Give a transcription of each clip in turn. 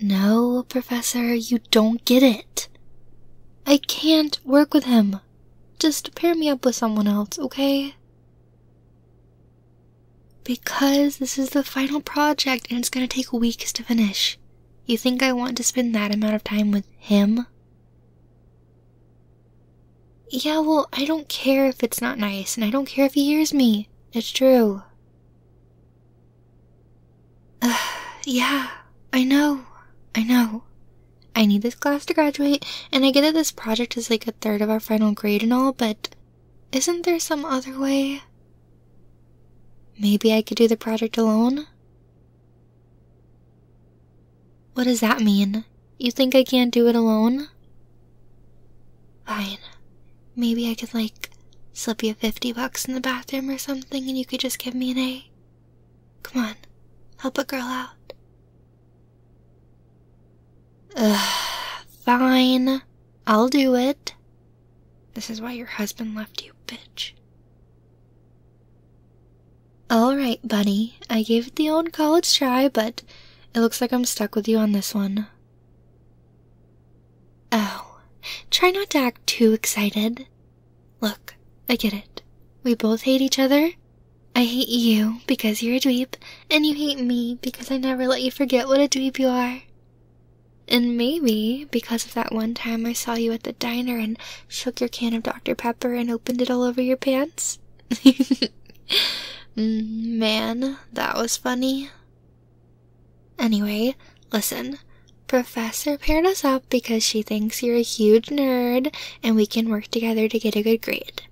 No, Professor, you don't get it. I can't work with him. Just pair me up with someone else, okay? Because this is the final project and it's gonna take weeks to finish. You think I want to spend that amount of time with him? Yeah, well, I don't care if it's not nice, and I don't care if he hears me. It's true. Uh, yeah, I know. I know. I need this class to graduate, and I get that this project is like a third of our final grade and all, but isn't there some other way? Maybe I could do the project alone? What does that mean? You think I can't do it alone? Fine. Maybe I could, like, slip you 50 bucks in the bathroom or something and you could just give me an A? Come on, help a girl out. fine. I'll do it. This is why your husband left you, bitch. Alright, bunny. I gave it the old college try, but it looks like I'm stuck with you on this one. Oh, try not to act too excited. Look, I get it. We both hate each other. I hate you because you're a dweeb, and you hate me because I never let you forget what a dweeb you are. And maybe because of that one time I saw you at the diner and shook your can of Dr. Pepper and opened it all over your pants. Mm, man, that was funny. Anyway, listen. Professor paired us up because she thinks you're a huge nerd and we can work together to get a good grade.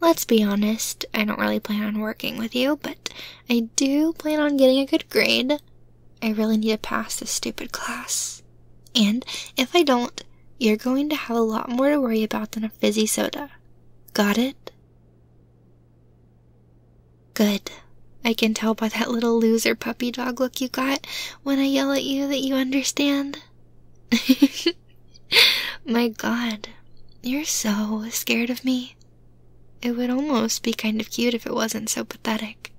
Let's be honest, I don't really plan on working with you, but I do plan on getting a good grade. I really need to pass this stupid class. And if I don't, you're going to have a lot more to worry about than a fizzy soda. Got it? Good. I can tell by that little loser puppy dog look you got when I yell at you that you understand. My god, you're so scared of me. It would almost be kind of cute if it wasn't so pathetic.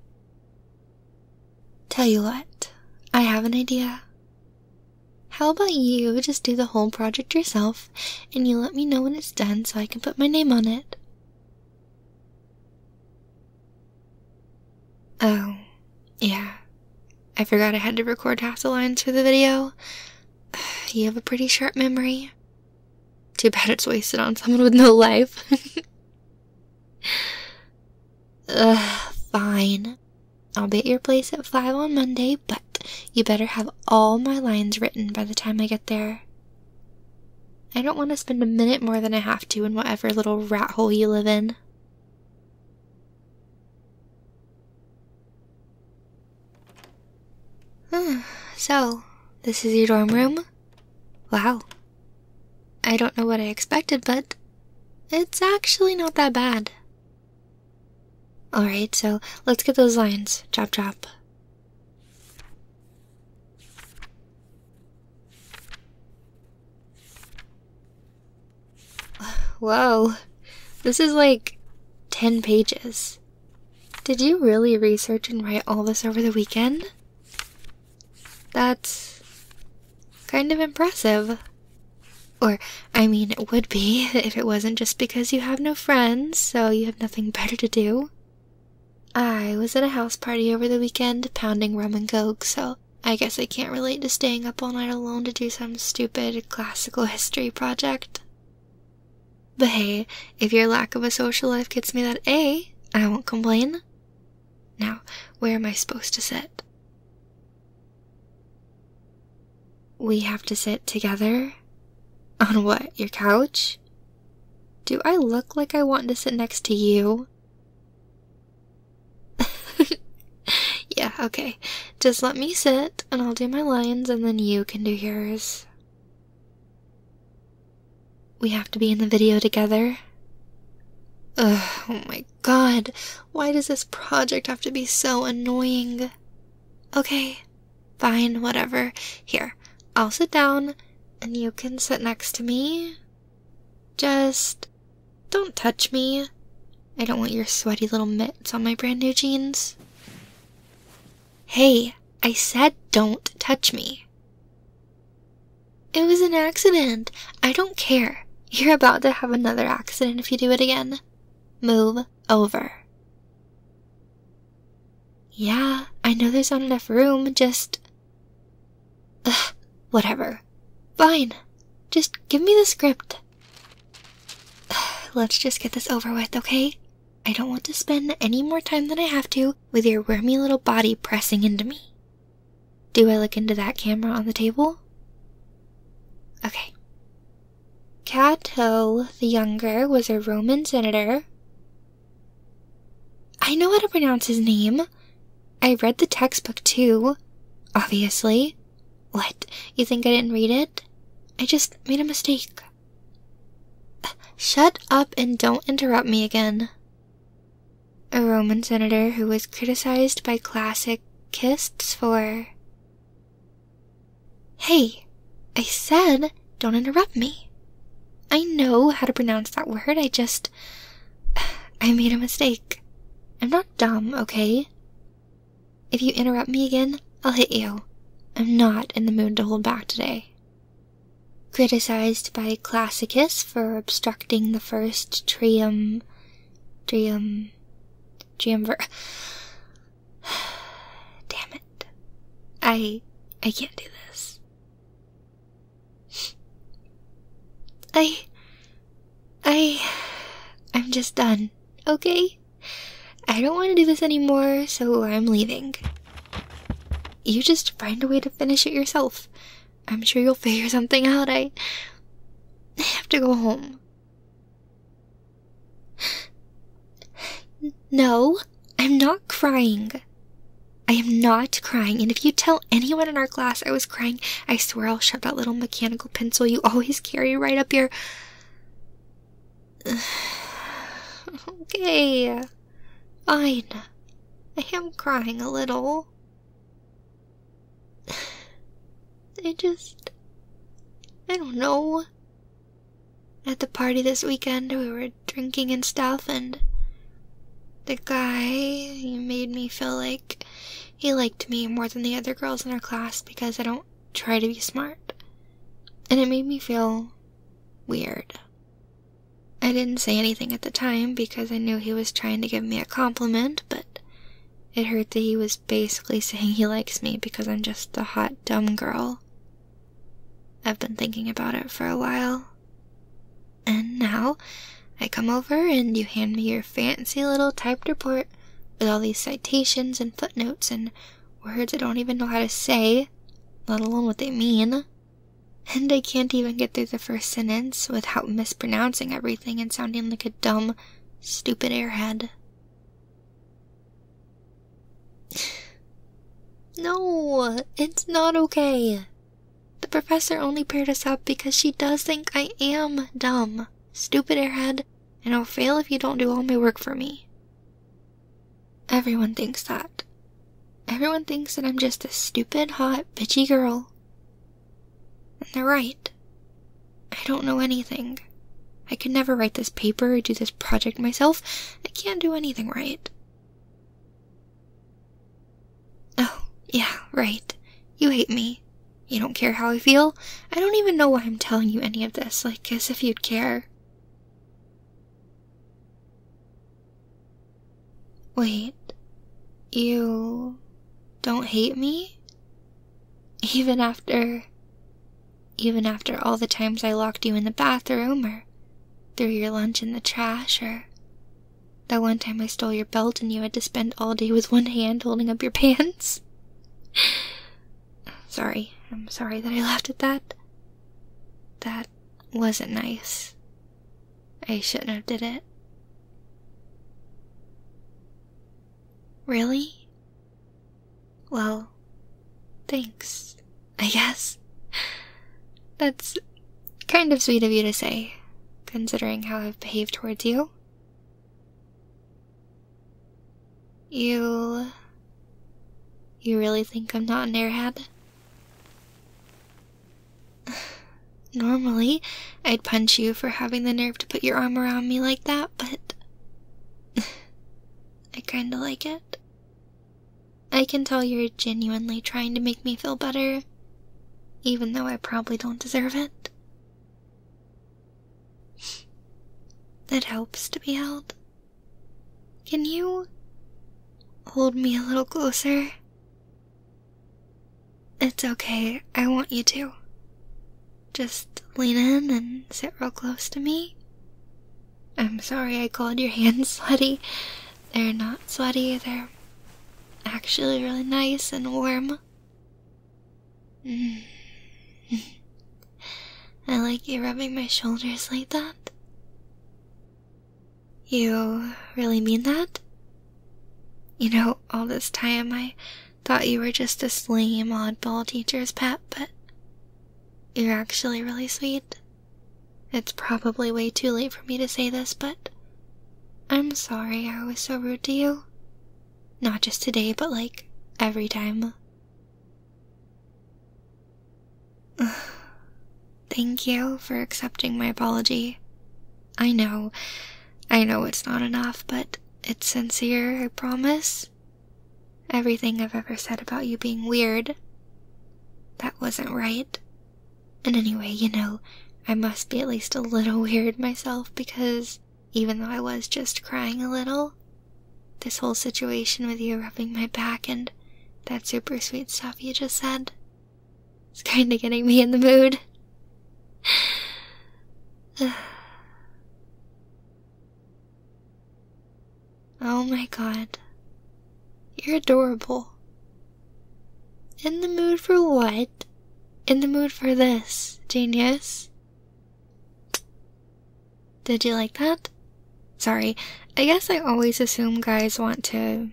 Tell you what, I have an idea. How about you just do the whole project yourself and you let me know when it's done so I can put my name on it? Oh, yeah. I forgot I had to record half the lines for the video. You have a pretty sharp memory. Too bad it's wasted on someone with no life. fine. I'll be at your place at 5 on Monday, but you better have all my lines written by the time I get there. I don't want to spend a minute more than I have to in whatever little rat hole you live in. so, this is your dorm room? Wow. I don't know what I expected, but it's actually not that bad. Alright, so let's get those lines. Chop chop. Whoa, this is like 10 pages. Did you really research and write all this over the weekend? That's kind of impressive. Or, I mean, it would be if it wasn't just because you have no friends, so you have nothing better to do. I was at a house party over the weekend pounding rum and coke, so I guess I can't relate to staying up all night alone to do some stupid classical history project. But hey, if your lack of a social life gets me that A, I won't complain. Now, where am I supposed to sit? We have to sit together? On what, your couch? Do I look like I want to sit next to you? yeah, okay. Just let me sit, and I'll do my lines, and then you can do yours. We have to be in the video together. oh my god, why does this project have to be so annoying? Okay, Fine, whatever. Here, I'll sit down and you can sit next to me. Just don't touch me. I don't want your sweaty little mitts on my brand new jeans. Hey, I said don't touch me. It was an accident. I don't care. You're about to have another accident if you do it again. Move over. Yeah, I know there's not enough room, just. whatever. Fine. Just give me the script. Let's just get this over with, okay? I don't want to spend any more time than I have to with your wormy little body pressing into me. Do I look into that camera on the table? Okay. Cato the Younger was a Roman senator I know how to pronounce his name. I read the textbook too, obviously. What? You think I didn't read it? I just made a mistake. Shut up and don't interrupt me again. A Roman senator who was criticized by classicists for Hey, I said don't interrupt me. I know how to pronounce that word, I just. I made a mistake. I'm not dumb, okay? If you interrupt me again, I'll hit you. I'm not in the mood to hold back today. Criticized by Classicus for obstructing the first trium. trium. triumvir. Damn it. I I can't do this. I I I'm just done, okay? I don't want to do this anymore, so I'm leaving. You just find a way to finish it yourself. I'm sure you'll figure something out. I have to go home. No, I'm not crying. I am not crying, and if you tell anyone in our class I was crying, I swear I'll shove that little mechanical pencil you always carry right up your. okay. Fine. I am crying a little. I just. I don't know. At the party this weekend, we were drinking and stuff, and The guy he made me feel like he liked me more than the other girls in our class because I don't try to be smart. And it made me feel weird. I didn't say anything at the time because I knew he was trying to give me a compliment, but it hurt that he was basically saying he likes me because I'm just a hot, dumb girl I've been thinking about it for a while. And now I come over and you hand me your fancy little typed report with all these citations and footnotes and words I don't even know how to say, let alone what they mean. And I can't even get through the first sentence without mispronouncing everything and sounding like a dumb, stupid airhead no, it's not okay. The professor only paired us up because she does think I am dumb, stupid airhead, and I'll fail if you don't do all my work for me. Everyone thinks that. Everyone thinks that I'm just a stupid, hot, bitchy girl. And they're right. I don't know anything. I could never write this paper or do this project myself. I can't do anything right. Oh, yeah, right. You hate me. You don't care how I feel. I don't even know why I'm telling you any of this, like as if you'd care. Wait, you don't hate me? Even after. Even after all the times I locked you in the bathroom, or threw your lunch in the trash, or that one time I stole your belt and you had to spend all day with one hand holding up your pants. sorry, I'm sorry that I laughed at that. That wasn't nice. I shouldn't have did it. Really? Well, thanks. I guess. That's kind of sweet of you to say, considering how I've behaved towards you. You. You really think I'm not an airhead? Normally, I'd punch you for having the nerve to put your arm around me like that, but. I kinda like it. I can tell you're genuinely trying to make me feel better, even though I probably don't deserve it. It helps to be held. Can you hold me a little closer? It's okay, I want you to. Just lean in and sit real close to me. I'm sorry I called your hands sweaty. They're not sweaty, they're actually really nice and warm. Mm. I like you rubbing my shoulders like that. You really mean that? You know, all this time I thought you were just a lame oddball teacher's pet, but you're actually really sweet it's probably way too late for me to say this, but I'm sorry I was so rude to you. Not just today, but like every time. Thank you for accepting my apology. I know, I know it's not enough, but it's sincere, I promise. Everything I've ever said about you being weird, that wasn't right. And anyway, you know, I must be at least a little weird myself because even though I was just crying a little, this whole situation with you rubbing my back and that super sweet stuff you just said, it's kinda getting me in the mood. Oh my god. You're adorable. In the mood for what? In the mood for this, genius. Did you like that? Sorry, I guess I always assume guys want to,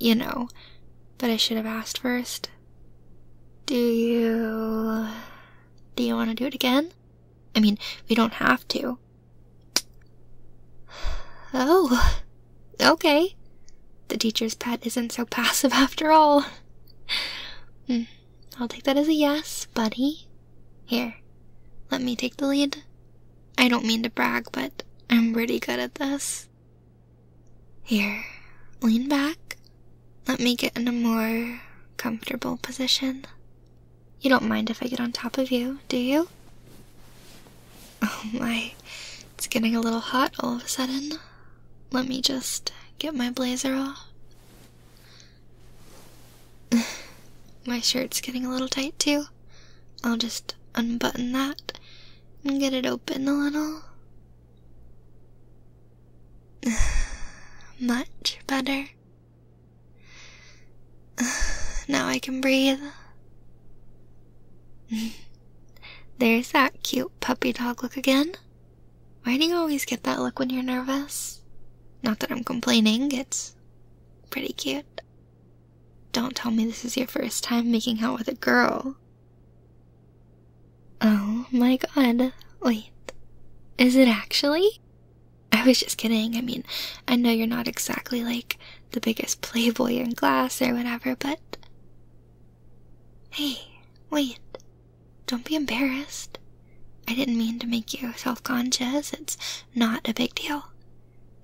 you know, but I should have asked first. Do you. Do you want to do it again? I mean, we don't have to. Oh, okay. The teacher's pet isn't so passive after all. Hmm, I'll take that as a yes, buddy. Here, let me take the lead. I don't mean to brag, but I'm pretty good at this. Here, lean back. Let me get in a more comfortable position. You don't mind if I get on top of you, do you? Oh my, it's getting a little hot all of a sudden. Let me just get my blazer off. my shirt's getting a little tight too. I'll just unbutton that and get it open a little. Much better. now I can breathe. There's that cute puppy dog look again. Why do you always get that look when you're nervous? Not that I'm complaining, it's pretty cute. Don't tell me this is your first time making out with a girl. Oh my god, wait. Is it actually? I was just kidding. I mean, I know you're not exactly like the biggest playboy in class or whatever, but. Hey, wait. Don't be embarrassed. I didn't mean to make you self conscious. It's not a big deal.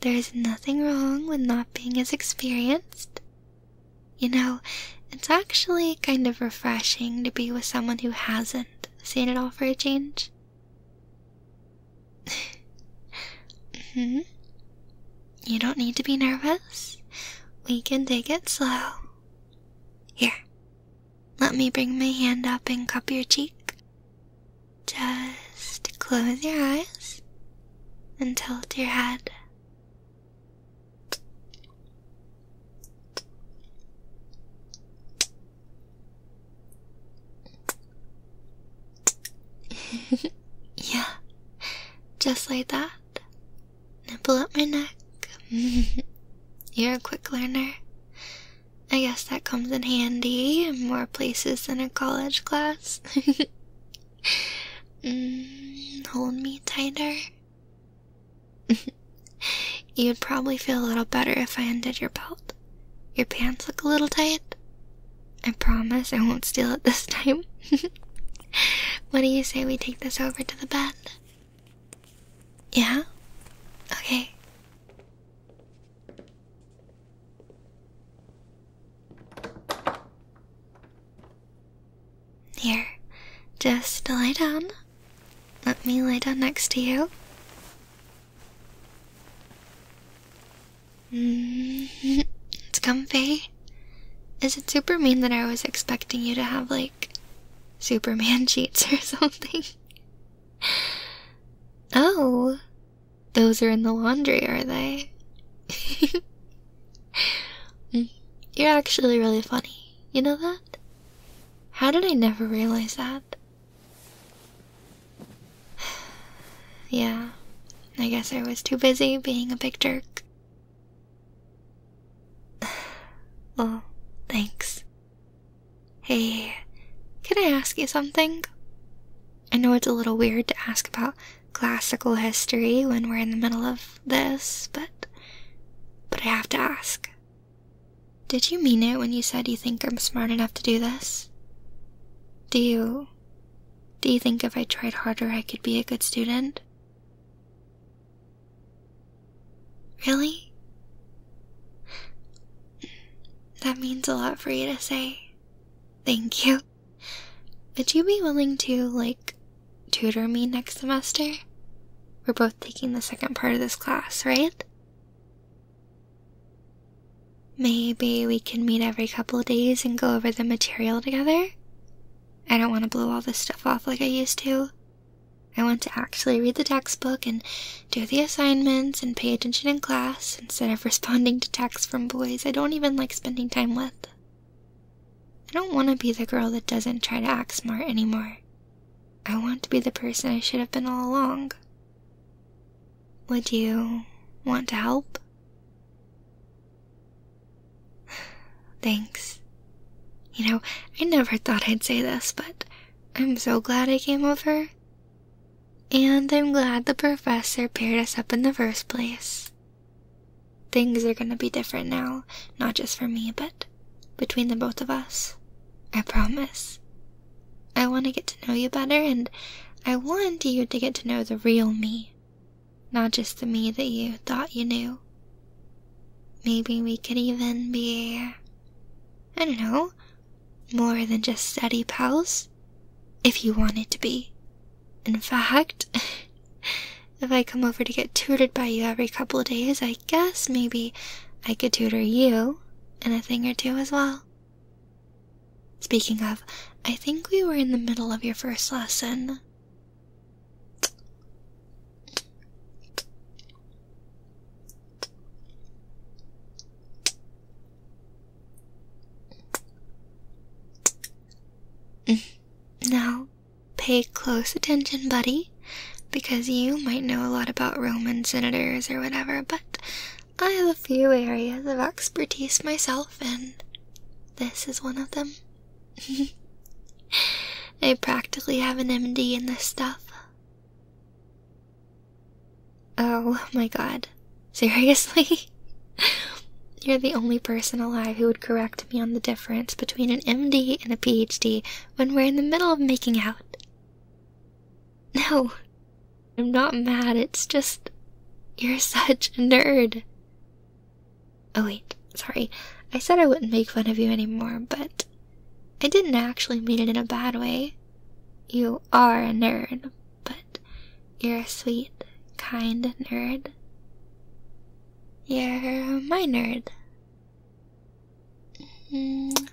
There is nothing wrong with not being as experienced. You know, it's actually kind of refreshing to be with someone who hasn't seen it all for a change mm-hmm. You don't need to be nervous. We can take it slow. Here, let me bring my hand up and cup your cheek. Just close your eyes and tilt your head. yeah, just like that. Nipple up my neck. You're a quick learner. I guess that comes in handy in more places than a college class. Mm, hold me tighter. You'd probably feel a little better if I undid your belt. Your pants look a little tight. I promise I won't steal it this time. what do you say we take this over to the bed? Yeah? Okay. Here, just lie down. Let me lie down next to you. Mm-hmm. it's comfy. Is it super mean that I was expecting you to have, like, Superman sheets or something? Oh, those are in the laundry, are they? Mm, you're actually really funny. You know that? How did I never realize that? yeah, I guess I was too busy being a big jerk. Oh, thanks. Hey, can I ask you something? I know it's a little weird to ask about classical history when we're in the middle of this, but but I have to ask. Did you mean it when you said you think I'm smart enough to do this? Do you. Do you think if I tried harder I could be a good student? Really? That means a lot for you to say. Thank you. Would you be willing to, like, tutor me next semester? We're both taking the second part of this class, right? Maybe we can meet every couple of days and go over the material together? I don't want to blow all this stuff off like I used to. I want to actually read the textbook and do the assignments and pay attention in class instead of responding to texts from boys I don't even like spending time with. I don't want to be the girl that doesn't try to act smart anymore. I want to be the person I should have been all along. Would you want to help? Thanks. You know, I never thought I'd say this, but I'm so glad I came over. And I'm glad the professor paired us up in the first place. Things are gonna be different now, not just for me, but between the both of us. I promise. I want to get to know you better, and I want you to get to know the real me, not just the me that you thought you knew. Maybe we could even be, I don't know, more than just study pals, if you wanted to be. In fact, if I come over to get tutored by you every couple of days, I guess maybe I could tutor you and a thing or two as well. Speaking of, I think we were in the middle of your first lesson. Mm. Now, pay close attention, buddy, because you might know a lot about Roman senators or whatever, but I have a few areas of expertise myself, and this is one of them. I practically have an MD in this stuff. Oh my god. Seriously? You're the only person alive who would correct me on the difference between an MD and a PhD when we're in the middle of making out. No, I'm not mad, it's just. You're such a nerd. Oh, wait, sorry. I said I wouldn't make fun of you anymore, but I didn't actually mean it in a bad way. You are a nerd, but you're a sweet, kind nerd. You're my nerd. -hmm.